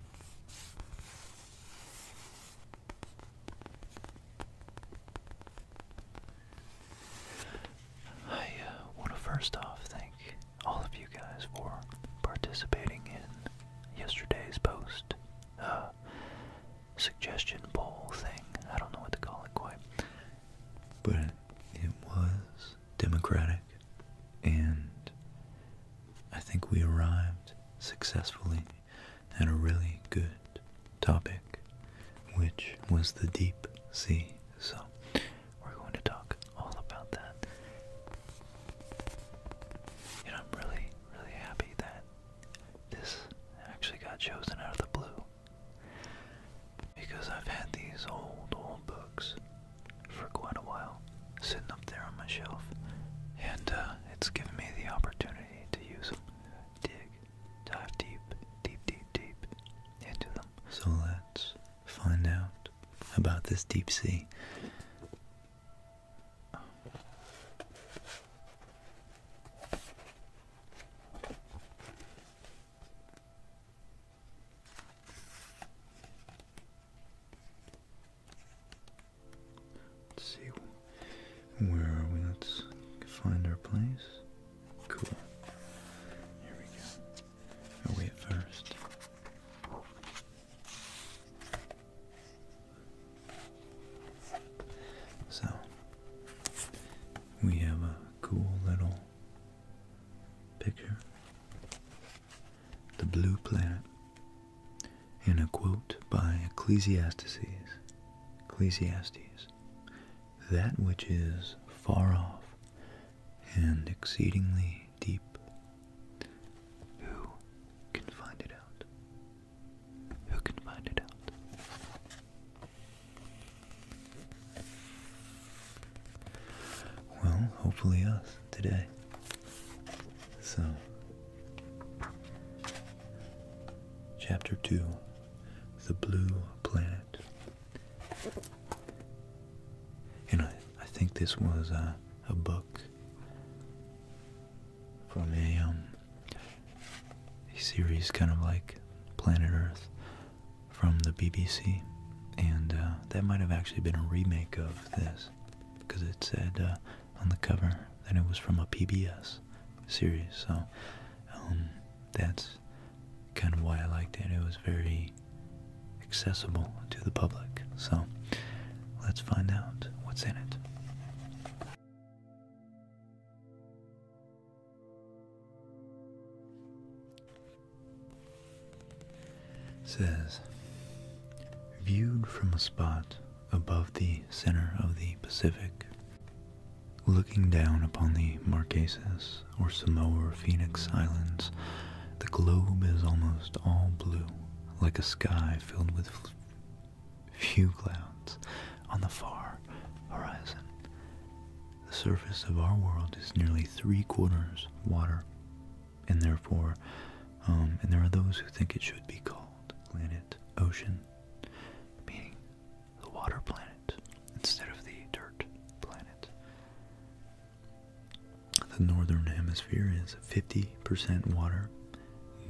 I uh, want to first off thank all of you guys for participating in yesterday's post uh, suggestion poll thing. I don't know what to call it quite, but it was democratic and I think we arrived successfully at a really good topic, which was the deep sea. So we're going to talk all about that. And I'm really, really happy that this actually got chosen out of the blue. Because I've had these old, old books for quite a while, sitting up there on my shelf, and uh, it's given me the opportunity to use them, dig, dive deep, deep, deep, deep into them. So let's find out about this deep sea. Let's see. Where are we? Let's find our place. Cool. Here we go. Are at first? So, we have a cool little picture the blue planet. In a quote by Ecclesiastes, Ecclesiastes, that which is far off and exceedingly deep, who can find it out? Who can find it out? Well, hopefully us today. So, Chapter 2 The Blue Planet. And I, I think this was a, book from um, a, series kind of like Planet Earth from the BBC. And uh, that might have actually been a remake of this because it said uh, on the cover that it was from a PBS series. So um, that's kind of why I liked it. It was very accessible to the public. So let's find out what's in it says, Viewed from a spot above the center of the Pacific, looking down upon the Marquesas or Samoa Phoenix Islands, the globe is almost all blue, like a sky filled with few clouds on the far horizon. The surface of our world is nearly three quarters water, and therefore, um, and there are those who think it should be called planet ocean, meaning the water planet instead of the dirt planet. The northern hemisphere is 50% water,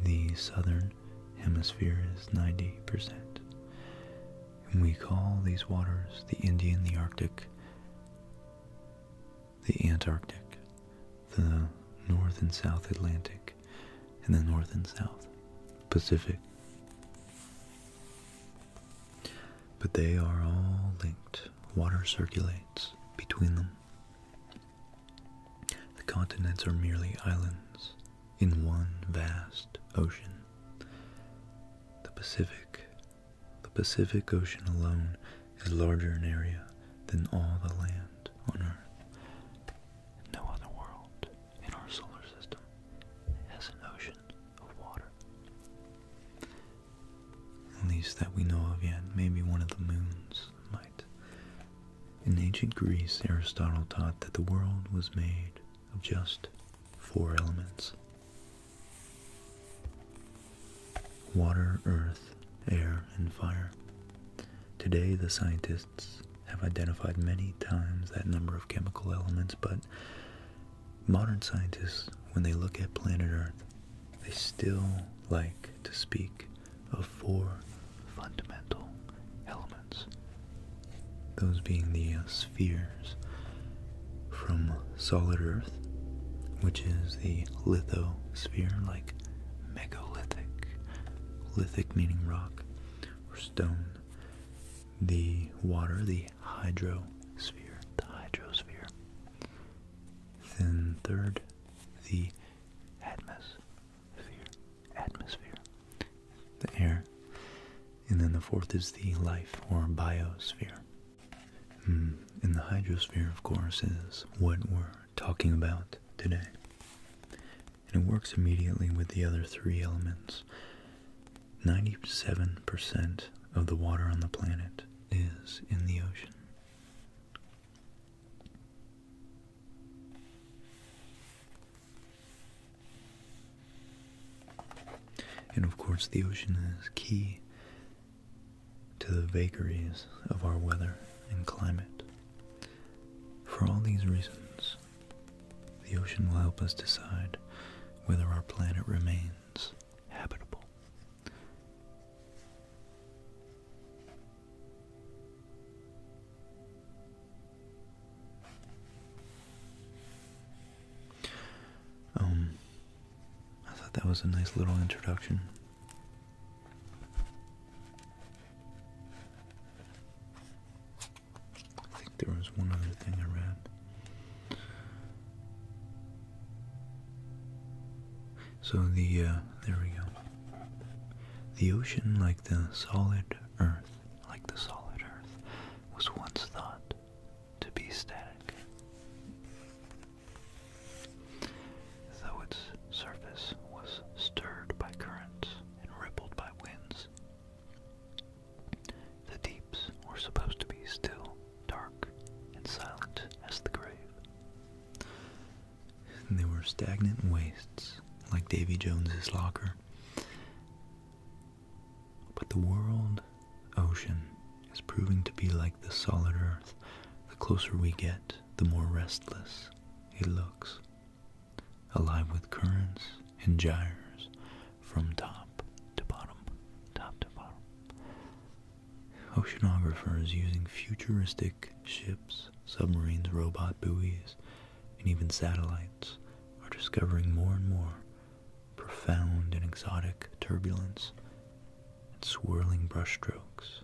the southern hemisphere is 90%. we call these waters the Indian, the Arctic, the Antarctic, the North and South Atlantic, and the North and South Pacific. But they are all linked. Water circulates between them. The continents are merely islands in one vast ocean. The Pacific, the Pacific Ocean alone is larger in area than all the land on Earth. No other world in our solar system has an ocean of water. At least that we know of yet, maybe one of the moons might. In ancient Greece, Aristotle taught that the world was made of just four elements water, earth, air, and fire. Today, the scientists have identified many times that number of chemical elements, but modern scientists, when they look at planet Earth, they still like to speak of four fundamental elements. Those being the uh, spheres from solid Earth, which is the lithosphere, like megalithic, lithic meaning rock or stone. The water, the hydrosphere, the hydrosphere. Then third, the atmosphere, atmosphere, the air. And then the fourth is the life or biosphere. Hmm, and the hydrosphere, of course, is what we're talking about today. And it works immediately with the other three elements. 97% of the water on the planet is in the ocean. And of course, the ocean is key to the vagaries of our weather and climate. For all these reasons, the ocean will help us decide whether our planet remains habitable. Um, I thought that was a nice little introduction I think there was one other thing I read. So the uh, there we go. The ocean, like the solid earth, like the solid earth, was once thought to be static. Though its surface was stirred by currents and rippled by winds, the deeps were supposed to be still, dark, and silent as the grave. They were stagnant wastes, like Davy Jones's locker. But the world ocean is proving to be like the solid earth the closer we get the more restless he looks, alive with currents and gyres from top to bottom, top to bottom. Oceanographers using futuristic ships, submarines, robot buoys, and even satellites are discovering more and more profound and exotic turbulence and swirling brushstrokes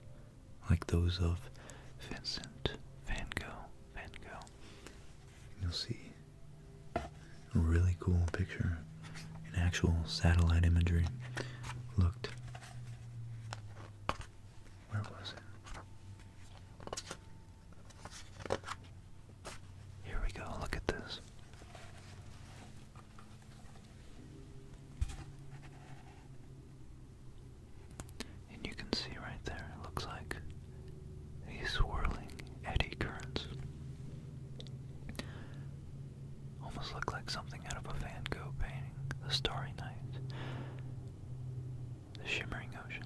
like those of Vincent Van Gogh. Van Gogh. You'll see a really cool picture in actual satellite imagery. Looked. Where was it? Here we go. Look at this. And you can see right there, it looks like these swirling eddy currents. Almost look like something out of a Van Gogh painting. The starry night. The shimmering ocean.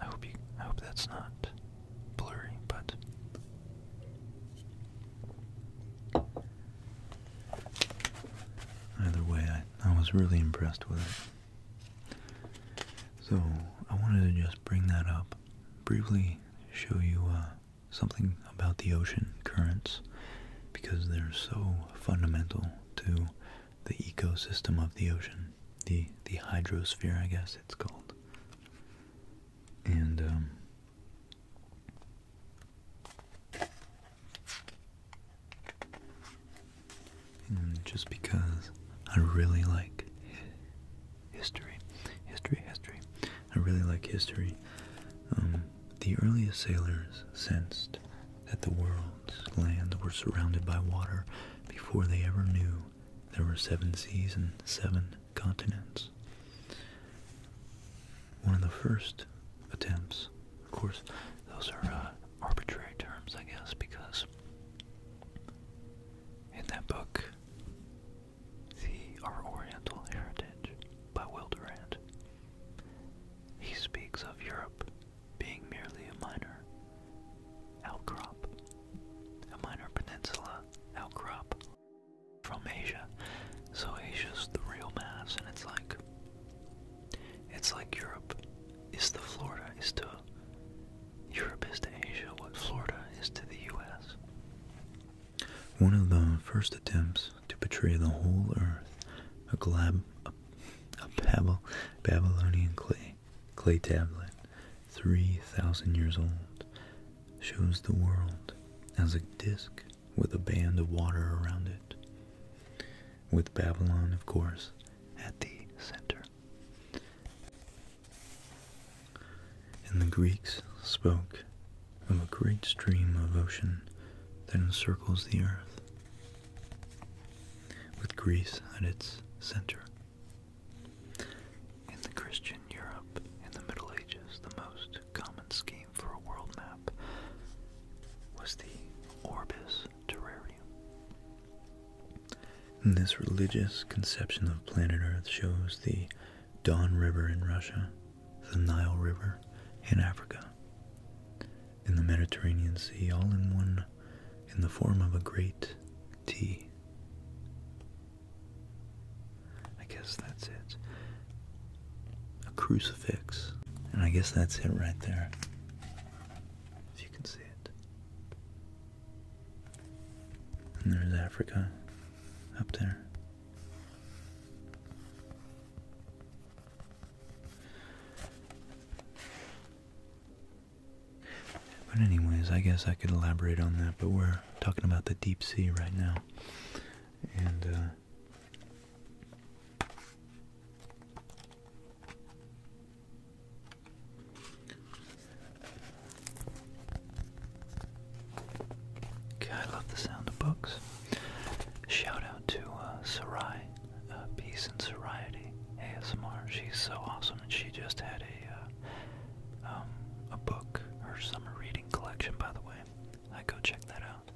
I hope you I hope that's not blurry, but Either way, I, was really impressed with it. So, I wanted to just bring that up, briefly show you uh, something about the ocean currents, because they're so fundamental to the ecosystem of the ocean, the, the hydrosphere, I guess it's called. And, um, Hmm, just because I really like history, history, history. I really like history. Um, the earliest sailors sensed that the world's land were surrounded by water before they ever knew there were seven seas and seven continents. One of the first attempts. Of course, those are uh, arbitrary terms, I guess, because in that book, The Our Oriental Heritage by Will he speaks of Europe being merely a minor outcrop, a minor peninsula outcrop from Asia. So Asia's the real mass, and it's like it's like Europe is to Florida is to Europe is to Asia what Florida is to the US. One of the first attempts to portray the whole earth, a pebble, Babylonian clay clay tablet, 3,000 years old, shows the world as a disk with a band of water around it, with Babylon, of course, at the center. And the Greeks spoke of a great stream of ocean that encircles the earth, with Greece at its center. In the Christian Europe in the Middle Ages, the most common scheme for a world map was the Orbis Terrarium. this religious conception of planet Earth shows the Don River in Russia, the Nile River in Africa, and the Mediterranean Sea all in one in the form of a great T. I guess that's it a crucifix. And I guess that's it right there. If you can see it. And there's Africa up there. But anyways, I guess I could elaborate on that, but we're talking about the deep sea right now. And uh, Okay, I love the sound of books. Shout out to uh, Sarai, uh, Peace and Soriety ASMR. She's so awesome, and she just had a uh, um, a book, her summer reading collection. By the way, I go check that out.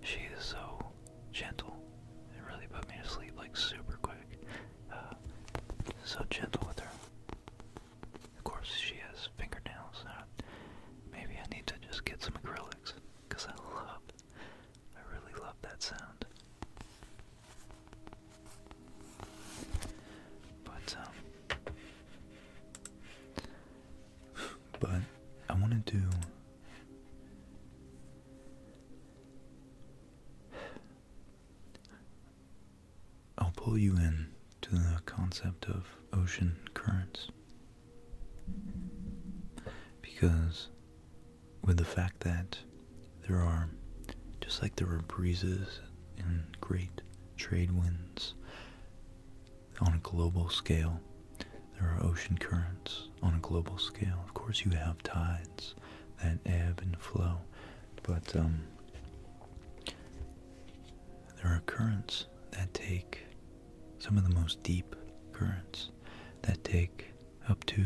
She is so gentle. It really put me to sleep like super quick. Uh, so gentle with her. Of course, she has fingernails. Uh, maybe I need to just get some acrylics because I love, I really love that sound. But um, but I want to do I'll pull you in to the concept of ocean currents. Because, with the fact that there are, just like there are breezes and great trade winds on a global scale, there are ocean currents on a global scale. Of course, you have tides that ebb and flow, but um, there are currents that take some of the most deep currents that take up to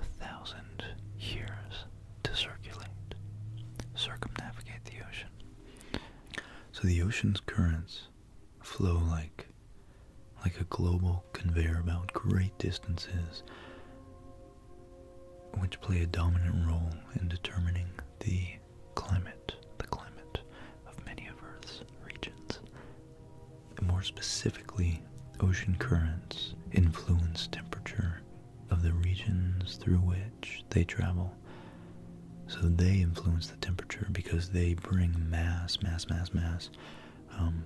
a thousand years to circulate, circumnavigate the ocean. So the ocean's currents flow like like a global conveyor belt great distances which play a dominant role in determining the climate the climate of many of earth's regions more specifically ocean currents influence temperature of the regions through which they travel so they influence the temperature because they bring mass mass mass mass um,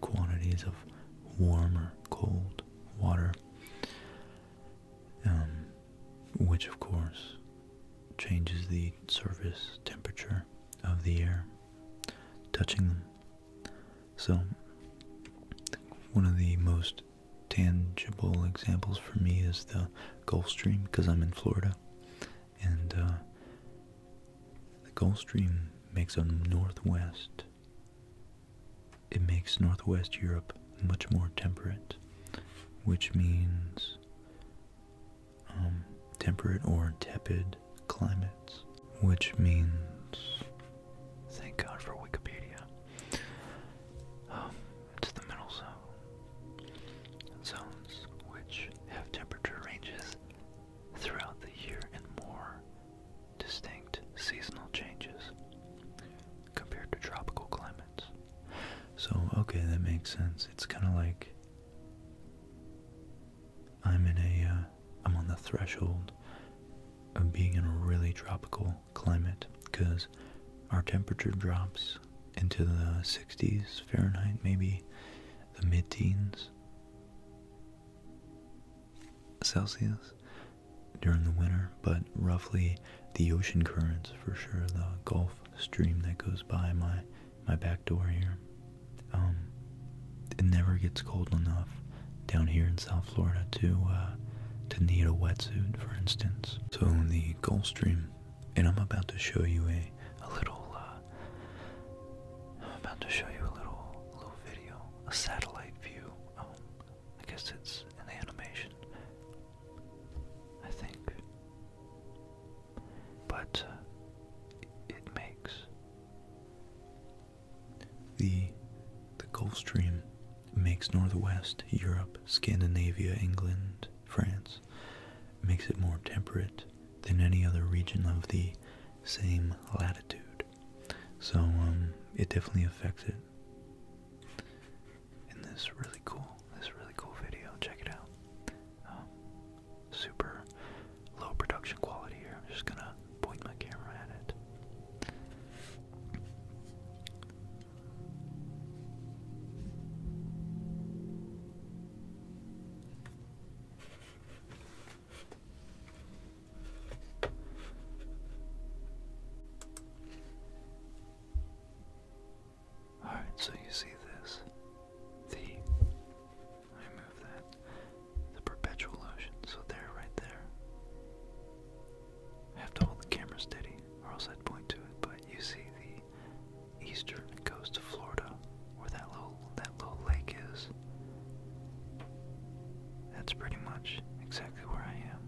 quantities of warmer, cold water, um, which of course changes the surface temperature of the air touching them. So, one of the most tangible examples for me is the Gulf Stream because I'm in Florida and uh, the Gulf Stream makes a northwest. It makes northwest Europe much more temperate, which means um, temperate or tepid climates, which means thank God for Wikipedia. Um, the middle zone zones which have temperature ranges throughout the year and more distinct seasonal changes compared to tropical climates. So, okay, that makes sense. It's kind of like I'm in a, am uh, on the threshold of being in a really tropical climate because our temperature drops into the 60s Fahrenheit, maybe the mid teens, Celsius during the winter, but roughly the ocean currents for sure, the Gulf Stream that goes by my my back door here. Um, it never gets cold enough down here in South Florida to uh, to need a wetsuit, for instance. So the Gulf Stream, and I'm about to show you a a little uh, I'm about to show you a little little video, a satellite view. Um, I guess it's an animation. I think, but uh, it makes the the Gulf Stream makes Northwest Europe, Scandinavia, England, France, makes it more temperate than any other region of the same latitude. So um, it definitely affects it. In this really cool, this really cool video. Check it out. Um, super low production quality here. I'm just gonna point my camera at it. Alright, so you see this. The I move that. The perpetual motion. So there right there. I have to hold the camera steady or else I'd point to it, but you see the eastern coast of Florida, where that little that little lake is. That's pretty much exactly where I am.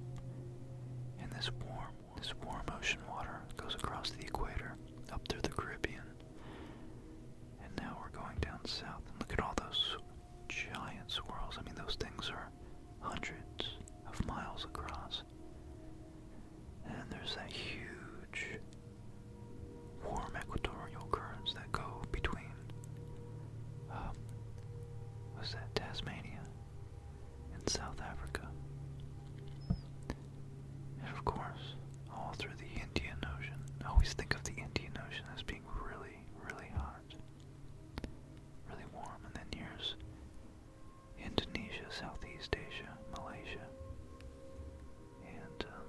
And this warm, this warm ocean water goes across the equator, up through the Caribbean. And now we're going down south, and look at all those giant swirls. I mean, those things are hundreds of miles across. And there's that huge warm equatorial currents that go between, um, was that Tasmania and South Africa. And of course, all through the Indian Ocean. I always think of the Indian Ocean as being really, really hot, really warm, and then here's Indonesia, Southeast Asia, Malaysia. And um,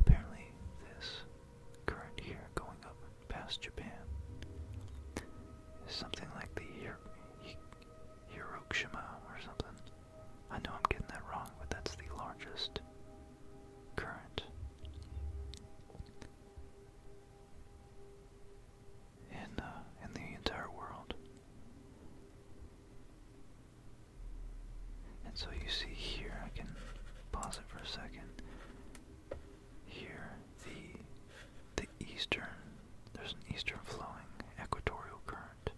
apparently, this current year going up past Japan is something like the Hir Hi Hiroshima or something. I know I'm getting that wrong, but that's the largest current. In, uh, in the entire world. And so you see here, I can pause it for a second. Here, the the eastern, there's an eastern flowing equatorial current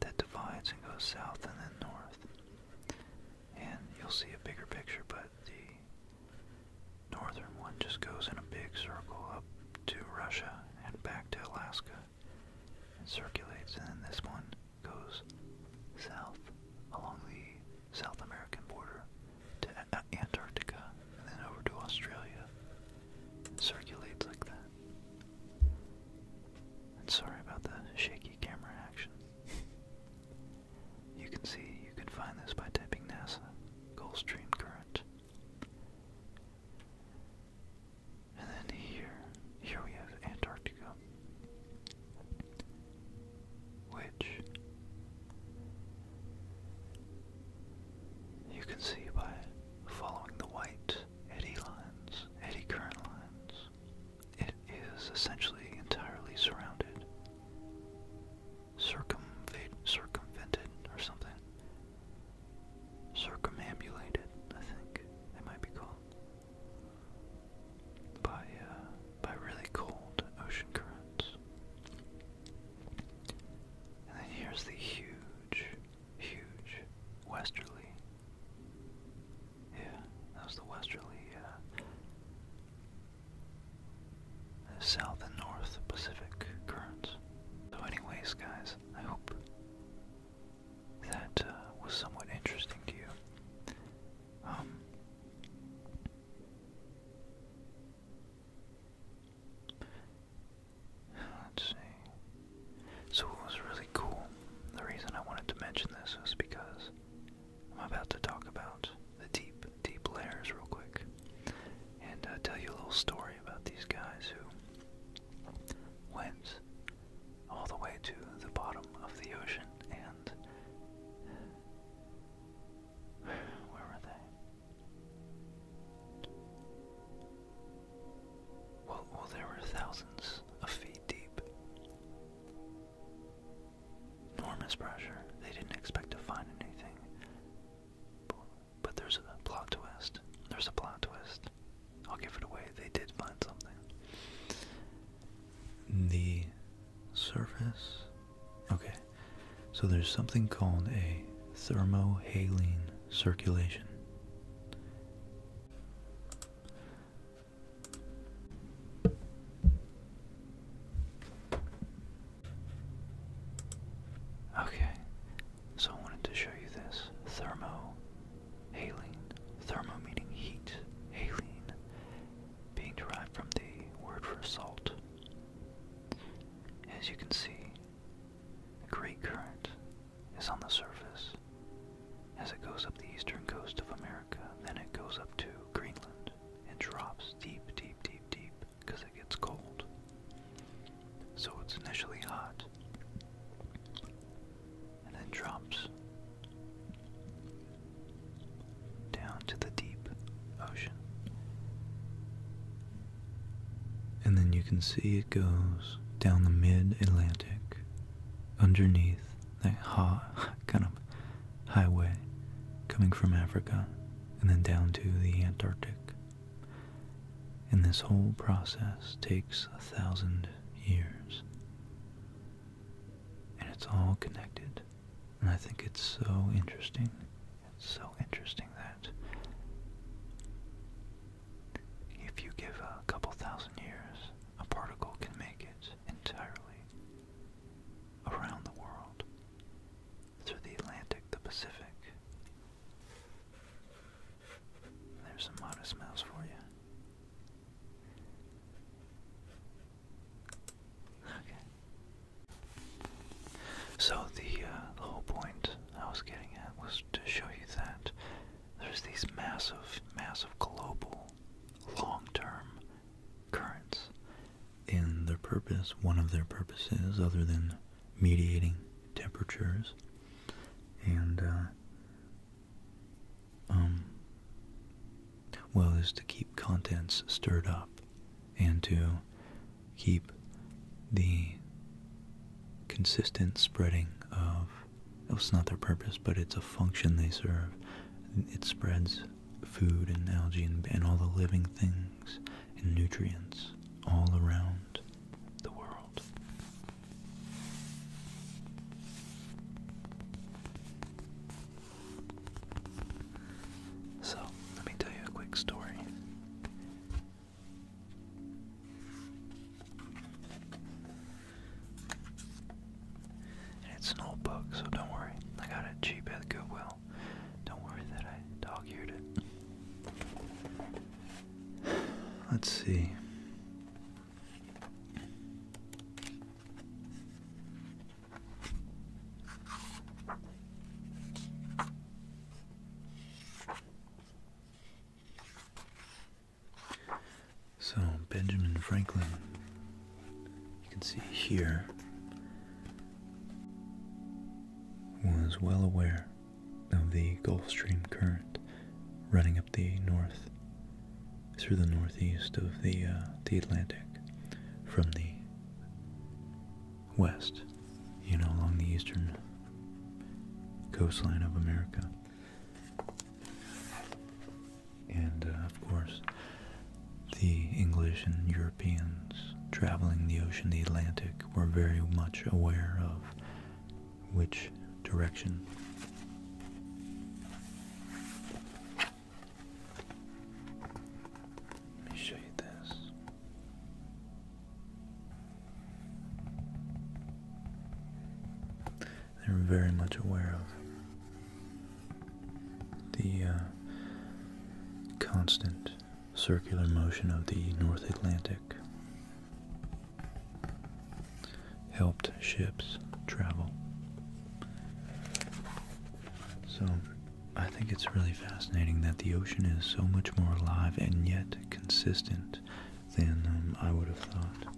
that divides and goes south and then north. And you'll see a bigger picture, but the northern one just goes in a big circle up to Russia and back to Alaska circulates, and then this one goes south along the South American border to Antarctica, and then over to Australia. It circulates like that. And sorry about the shaky camera action. you can see, you can find this by typing NASA Gulf Stream Current. And then here, here we have Antarctica, which you can see by following the white eddy lines, eddy current lines. It is essentially entirely surrounded, circumvented or something, circumambulated, I think they might be called, by uh, by really cold ocean currents. And then here's the huge, huge westerly. Yeah, that the westerly uh, uh, south and north Pacific currents. So, anyways, guys, I hope that uh, was somewhat interesting to you. Um, let's see. So, what was really cool, the reason I wanted to mention this was because I'm about to talk about the deep, deep layers real quick and uh, tell you a little story about these guys who went all the way to the bottom of the ocean and where were they? Well, well, were thousands of feet deep. Enormous pressure. They didn't expect to find anything. But there's a plot twist. There's a plot twist. I'll give it away, they did find something. The surface. Okay, so there's something called a thermohaline circulation. Okay, so I wanted to show you this thermo Haline, thermo meaning heat, haline being derived from the word for salt. As you can see, a great current is on the surface. As it goes up the eastern coast of America, then it goes up to Greenland and drops deep, deep, deep, deep because it gets cold. So it's initially hot and then drops down to the deep ocean. And then you can see it goes down the mid Atlantic underneath that hot kind of highway coming from Africa and then down to the Antarctic. And this whole process takes a thousand years and it's all connected. And I think it's so interesting. It's so interesting that if you give a couple thousand years, a particle can make it entirely around the world through the Atlantic, the Pacific. There's some modest mouse for you. Okay. So the, uh, whole point I was getting at was to show you that there's these massive, massive global, long-term currents. and their purpose, one of their purposes, other than mediating temperatures and uh, um, well, is to keep contents stirred up and to keep the consistent spreading of, it's not their purpose, but it's a function they serve. It spreads food and algae and all the living things and nutrients all around the world. So, let me tell you a quick story. it's an old book, so don't worry. I got it cheap at Goodwill. Don't worry that I dog-eared it. Let's see. So, Benjamin Franklin, you can see here, was well aware of the Gulf Stream current running up the north through the northeast of the uh, the Atlantic from the west, you know, along the eastern coastline of America. And uh, of course, the English and Europeans traveling the ocean, the Atlantic, were very much aware of which direction. Let me show you this. They're very much aware of the uh, constant circular motion of the North Atlantic helped ships travel. So I think it's really fascinating that the ocean is so much more alive and yet consistent than um, I would have thought.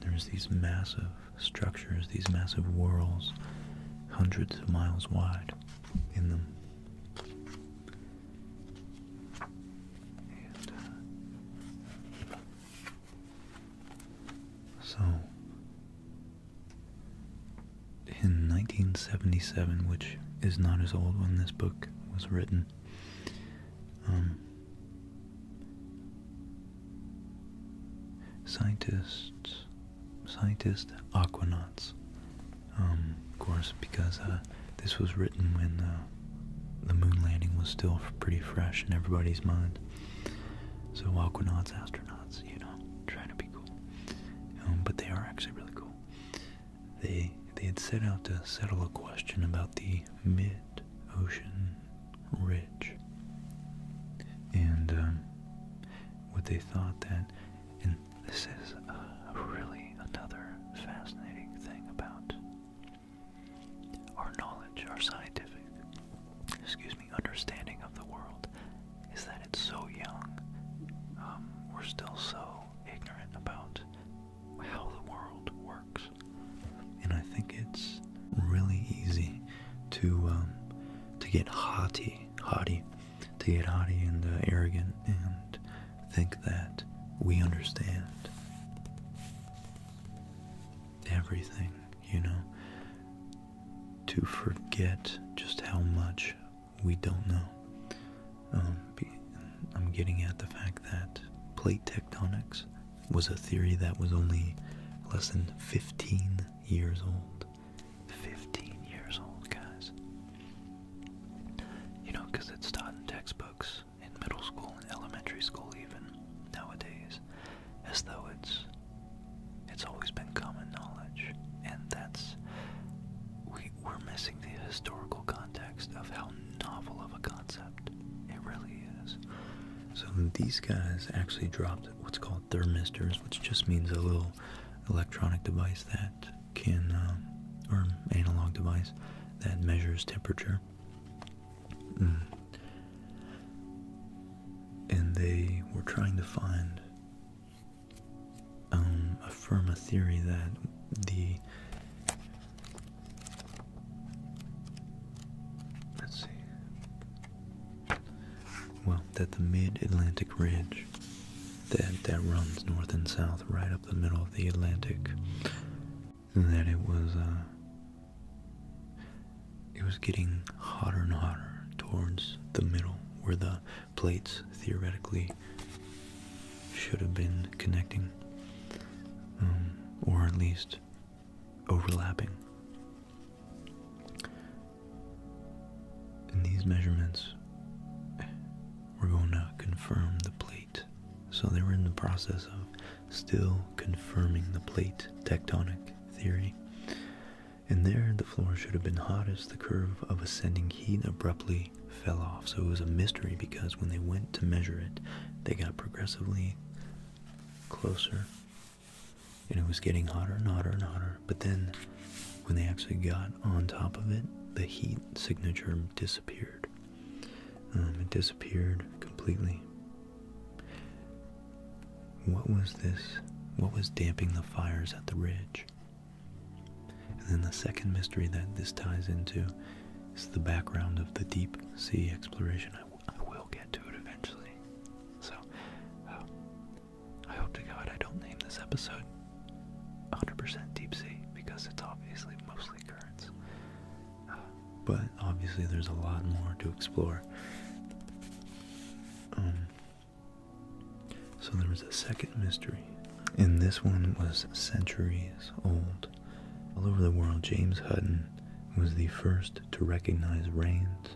There's these massive structures, these massive whorls, hundreds of miles wide in them. Uh, so, in 1977, which is not as old when this book was written, um, scientists, aquanauts, um, of course, because uh, this was written when uh, the moon landing was still pretty fresh in everybody's mind. So Aquanauts, astronauts, you know, trying to be cool. Um, but they are actually really cool. They they had set out to settle a question about the mid-ocean ridge, and um, what they thought that, and this is a uh, really another fascinating thing about our knowledge, our scientific, excuse me, understanding of the world is that it's so young. Um, we're still so ignorant about how the world works. And I think it's really easy to um, to get haughty, haughty, to get haughty and uh, arrogant and think that we understand everything, you know, to forget just how much we don't know. Um, I'm getting at the fact that plate tectonics was a theory that was only less than 15 years old. 15 years old, guys. You know, because it's taught in textbooks in middle school and elementary school even, nowadays, as though it's it's always been common knowledge. And that's we we're missing the historical context of how novel of a concept it really is. So these guys actually dropped what's called thermistors, which just means a little electronic device that can um, or analog device that measures temperature Mm. And they were trying to find, um, affirm a theory that the, let's see, well, that the mid-Atlantic ridge that, that runs north and south right up the middle of the Atlantic that it was uh, it was getting hotter and hotter towards the middle where the plates theoretically should have been connecting um, or at least overlapping and these measurements we're going to confirm the plate so they were in the process of still confirming the plate tectonic theory. And there, the floor should have been hot as the curve of ascending heat abruptly fell off. So it was a mystery because when they went to measure it, they got progressively closer. And it was getting hotter and hotter and hotter. But then, when they actually got on top of it, the heat signature disappeared. Um, it disappeared completely. What was this? What was damping the fires at the ridge? And then the second mystery that this ties into is the background of the deep sea exploration. I, will get to it eventually. So, uh, I hope to God I don't name this episode 100% deep sea because it's obviously mostly currents but obviously there's a lot more to explore. Um, so there was a second mystery, and this one was centuries old. All over the world, James Hutton was the first to recognize rains,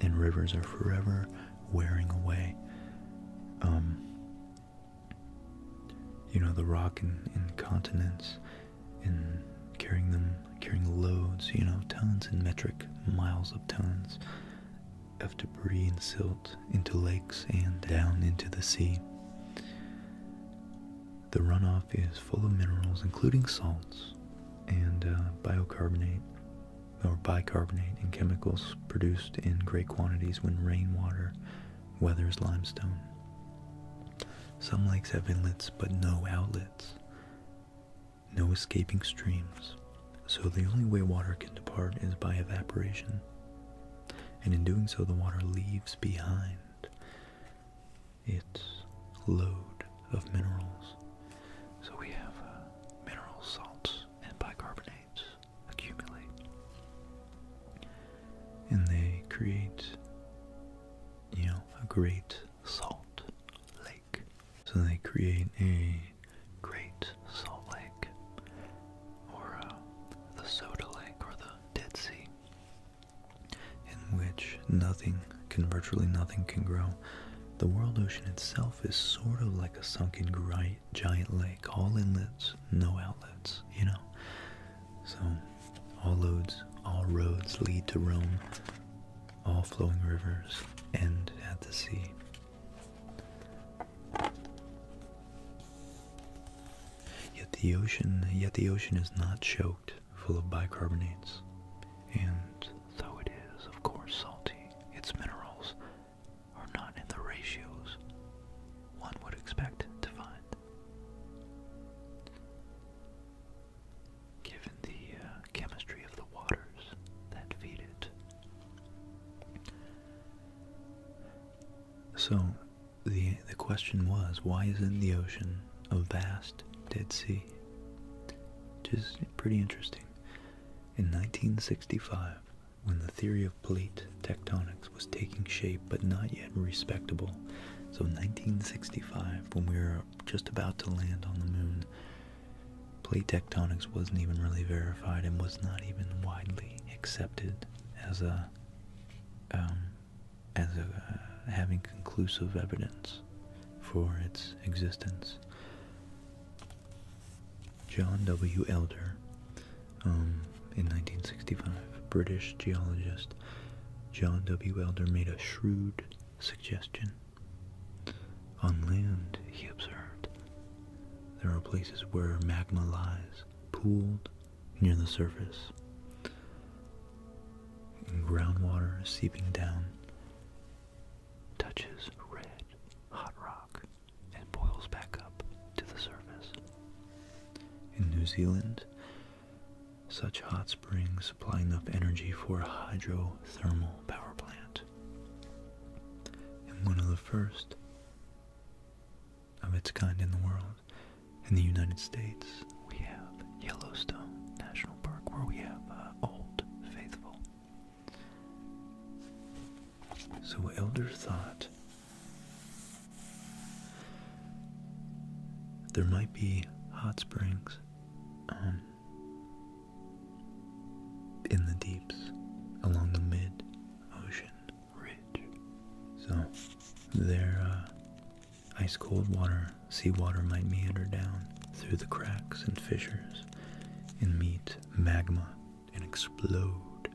and rivers are forever wearing away. Um, you know, the rock and continents and carrying them, carrying loads, you know, tons and metric, miles of tons of debris and silt into lakes and down into the sea. The runoff is full of minerals, including salts and uh, bicarbonate, or bicarbonate and chemicals produced in great quantities when rainwater weathers limestone. Some lakes have inlets but no outlets, no escaping streams, so the only way water can depart is by evaporation, and in doing so, the water leaves behind its load of minerals. So we have uh, mineral salts and bicarbonates accumulate, and they create you know, a great salt lake. So they create a great salt lake, or uh, the soda lake, or the Dead Sea, in which nothing can, virtually nothing can grow. The world ocean itself is sort of like a sunken giant lake, all inlets, no outlets, you know. So, all roads, all roads lead to Rome, all flowing rivers end at the sea. Yet the ocean, yet the ocean is not choked full of bicarbonates, and though it is, of course, salty, its minerals are not in the ratios one would expect to find given the uh, chemistry of the waters that feed it. So, the, the question was why isn't the ocean a vast Dead Sea? Which is pretty interesting. In 1965, when the theory of plate tectonics was taking shape, but not yet respectable. So, 1965, when we were just about to land on the moon, plate tectonics wasn't even really verified and was not even widely accepted as a um, as a, uh, having conclusive evidence for its existence. John W. Elder, um, in 1965, British geologist, John W. Elder made a shrewd suggestion. On land, he observed, there are places where magma lies, pooled near the surface, and groundwater seeping down touches red, hot rock and boils back up to the surface. In New Zealand, such hot springs supply enough energy for a hydrothermal power plant. And one of the first of its kind in the world. In the United States, we have Yellowstone National Park, where we have uh, Old Faithful. So, Elder thought there might be hot springs um, in the deeps along the mid ocean ridge. So there, uh, ice cold water, seawater might meander down through the cracks and fissures and meet magma and explode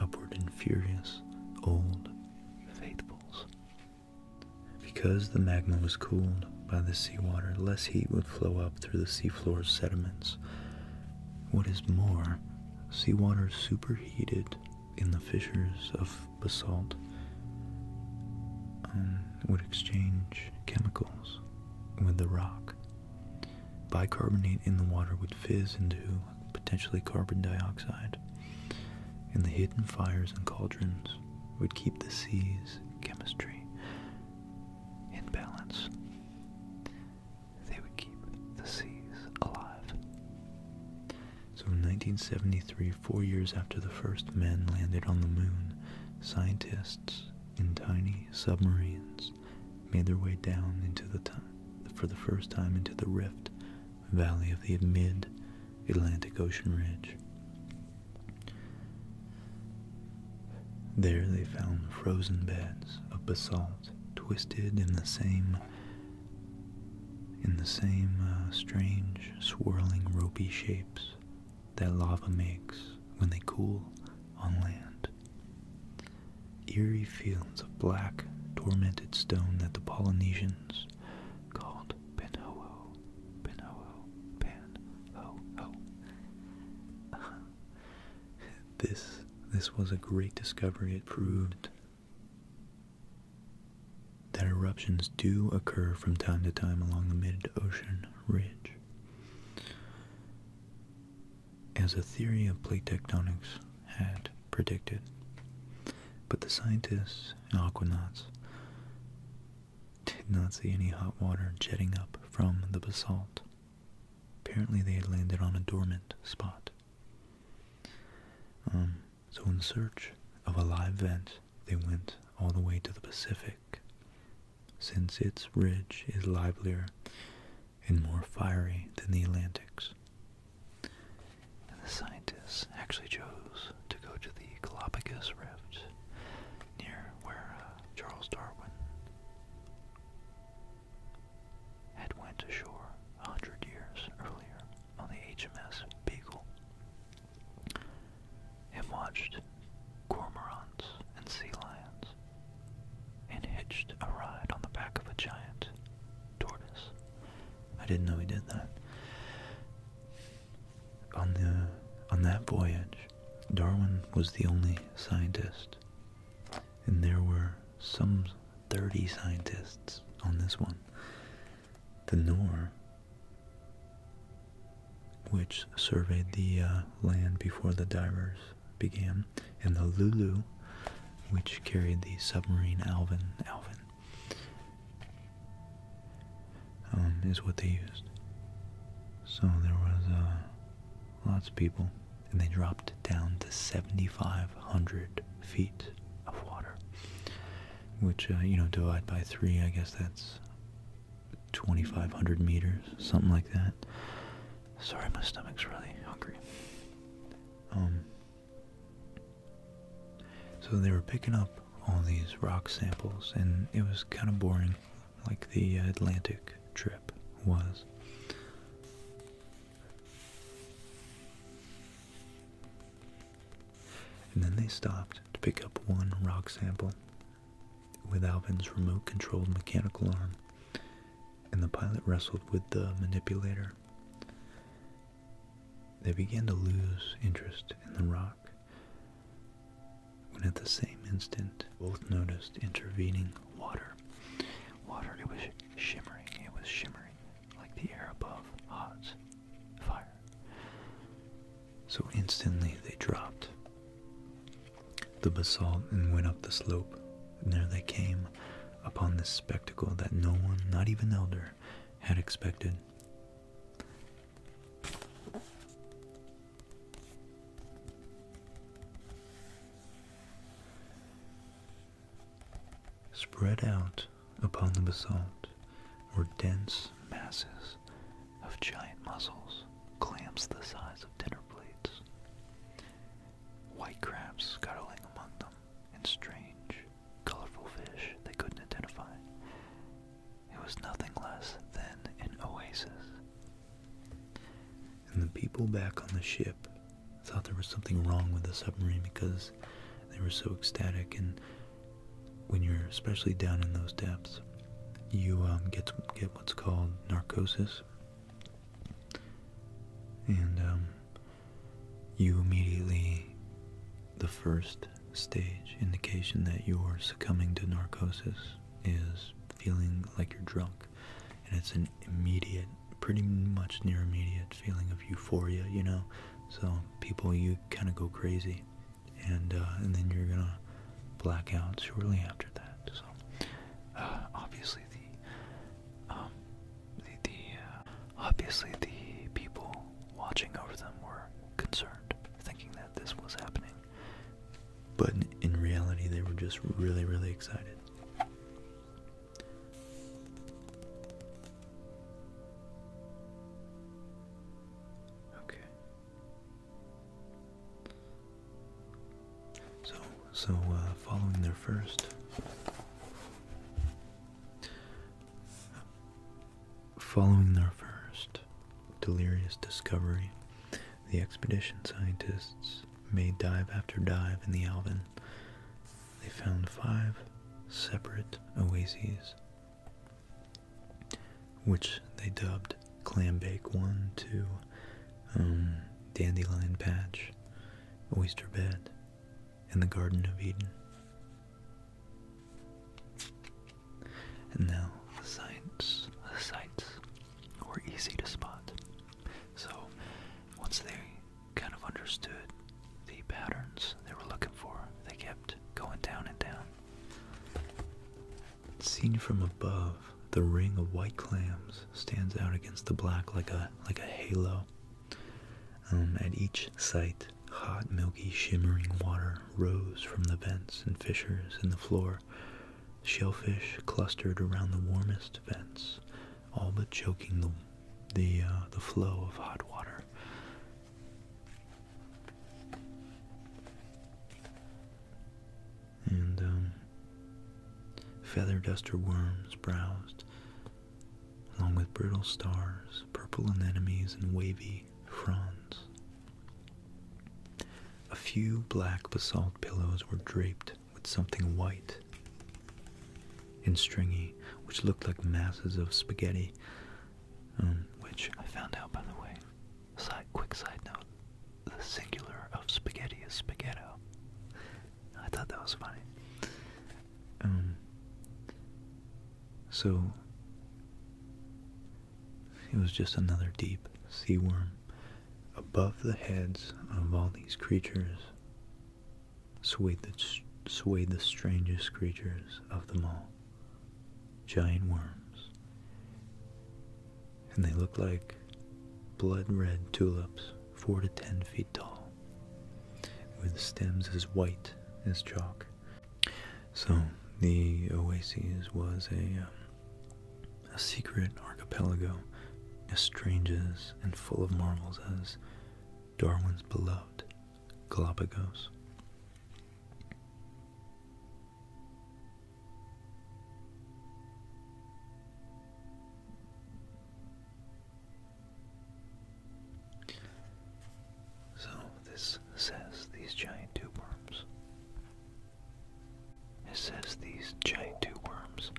upward in furious old faithfuls. Because the magma was cooled by the seawater, less heat would flow up through the seafloor sediments. What is more, seawater superheated in the fissures of basalt would exchange chemicals with the rock. Bicarbonate in the water would fizz into potentially carbon dioxide, in the hidden fires and cauldrons would keep the sea's chemistry in balance. They would keep the seas alive. So in 1973, four years after the first men landed on the moon, scientists in tiny submarines made their way down into the for the first time into the rift valley of the mid Atlantic Ocean Ridge. There they found frozen beds of basalt twisted in the same in the same uh, strange swirling ropey shapes that lava makes when they cool on land. Eerie fields of black tormented stone that the Polynesians called pinho pinho ho Pan-ho-ho. this, this was a great discovery. It proved that eruptions do occur from time to time along the mid-ocean ridge. As a theory of plate tectonics had predicted, but the scientists and aquanauts did not see any hot water jetting up from the basalt. Apparently, they had landed on a dormant spot. Um, so, in search of a live vent, they went all the way to the Pacific, since its ridge is livelier and more fiery than the Atlantic's and the scientists actually chose to go to the Galapagos Rift near where uh, Charles Darwin had went ashore a hundred years earlier on the HMS Beagle and watched cormorants and sea lions and hitched a ride on the back of a giant tortoise. I didn't know he did that. On the on that voyage, Darwin was the only scientist, and there were some 30 scientists on this one. The Nor, which surveyed the uh, land before the divers began, and the Lulu, which carried the submarine Alvin Alvin. Um, is what they used. So there was uh, lots of people, and they dropped down to 7,500 feet of water, which uh, you know divide by three. I guess that's 2,500 meters, something like that. Sorry, my stomach's really hungry. Um, so they were picking up all these rock samples, and it was kind of boring, like the Atlantic trip was. And then they stopped to pick up one rock sample with Alvin's remote controlled mechanical arm, and the pilot wrestled with the manipulator. They began to lose interest in the rock shock, when at the same instant both noticed intervening water. Water, it was shimmering, it was shimmering like the air above hot fire. So instantly they dropped the basalt and went up the slope. And there they came upon this spectacle that no one, not even Elder, had expected spread out upon the basalt were dense masses of giant mussels, clams the size of dinner plates, white crabs scuttling among them, and strange, colorful fish they couldn't identify. It was nothing less than an oasis. And the people back on the ship thought there was something wrong with the submarine because they were so ecstatic. And when you're especially down in those depths, you um, get get what's called narcosis, and um, you immediately, the first stage indication that you're succumbing to narcosis is feeling like you're drunk. And it's an immediate, pretty much near immediate feeling of euphoria, you know? So people, you kind of go crazy. And, uh, and then you're gonna black out shortly after that. So, uh, obviously the, um, the, uh, obviously the people watching over them were concerned, thinking that this was happening. But in, reality, they were just really, really excited. Okay. So, so uh, following their first Following their first delirious discovery, the expedition scientists made dive after dive in the Alvin. They found five separate oases, which they dubbed Clam Bake 1, 2, um, Dandelion Patch, Oyster Bed, and the Garden of Eden. And now the sites, the sites were easy to spot. So once they kind of understood the patterns they were looking for, they kept going down and down. Seen from above, the ring of white clams stands out against the black like a like a halo. Um, at each site, Hot, milky, shimmering water rose from the vents and fissures in the floor. Shellfish clustered around the warmest vents, all but choking the the uh, the flow of hot water. And um, feather duster worms browsed, along with brittle stars, purple anemones, and wavy fronds. A few black basalt pillows were draped with something white and stringy, which looked like masses of spaghetti, um, which I found out, by the way, side, quick side note, the singular of spaghetti is spaghetto. I thought that was funny. Um, so it was just another deep sea worm above the heads of all these creatures, swayed the, swayed the strangest creatures of them all, giant worms. And they looked like blood red tulips, four to ten feet tall, with stems as white as chalk so the Oasis was a um, a secret archipelago, as strange as and full of marvels as Darwin's beloved Galapagos. So this says these giant tube worms. It says these giant tube worms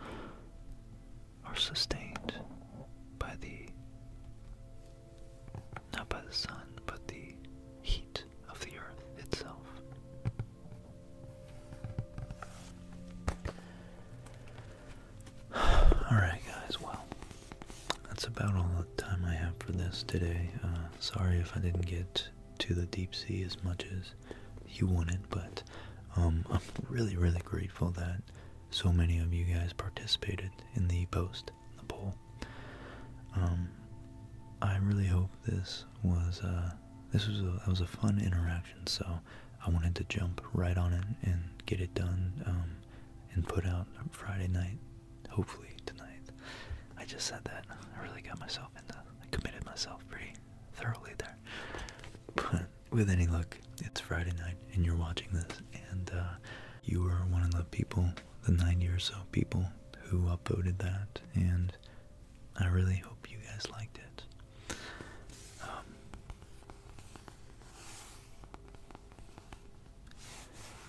are sustained by the not by the sun, but the heat of the earth itself. Alright, guys, well, that's about all the time I have for this today. Uh, sorry if I didn't get to the deep sea as much as you wanted, but um, I'm really, really grateful that so many of you guys participated in the post, the poll. Um, I really hope this was uh, this was a, was a fun interaction. So I wanted to jump right on it and get it done um, and put out Friday night hopefully tonight. I just said that. I really got myself into I committed myself pretty thoroughly there. But with any luck, it's Friday night and you're watching this and uh, you are one of the people, the 90 or so people who upvoted that and I really hope you guys liked it. Um,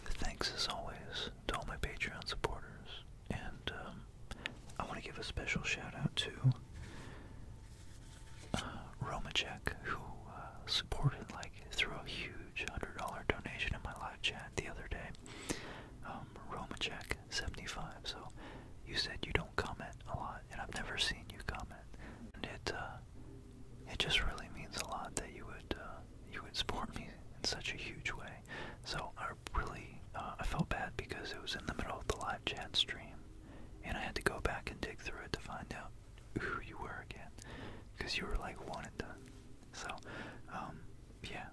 Thanks as always to all my Patreon supporters, and um, I want to give a special shout out to uh, who uh, supported like through a huge hundred dollar donation in my live chat the other day. Um, seventy five. So you said you don't comment a lot, and I've never seen you comment, and it uh, it just really means a lot that you would. Uh, you would support me in such a huge way. So I really, uh, I felt bad because it was in the middle of the live chat stream, and I had to go back and dig through it to find out who you were again, because you were like one and done. So, um, yeah.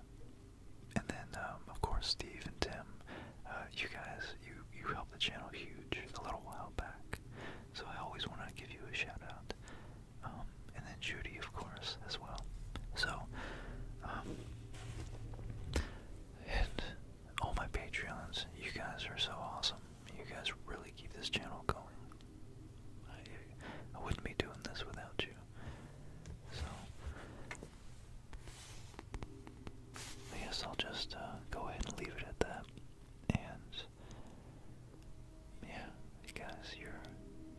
And then, um, of course, Steve and Tim, uh, you guys, you you helped the channel huge a little while back. So I always want to give you a shout out. Um, and then Judy, of course, as well. So, um, and all my Patreons, you guys are so awesome. You guys really keep this channel going. I, wouldn't be doing this without you. So, I guess I'll just uh, go ahead and leave it at that. And yeah, you guys, you're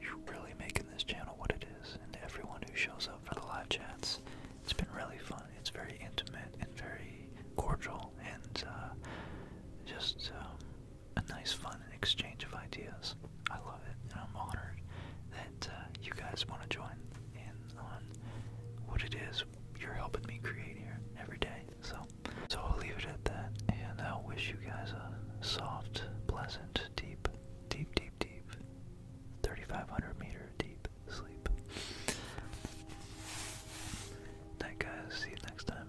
you're really making this channel what it is, and everyone who shows up for the live chats, it's been really fun. It's very intimate and very cordial, and uh, just um, a nice, fun exchange of ideas. I love it, and I'm honored that uh, you guys want to join in on what it is you're helping me create here every day. So, so I'll leave it at that, and I will wish you guys a soft, pleasant, deep, deep, deep, deep, 3,500 meter deep sleep. Night, guys. See you next time.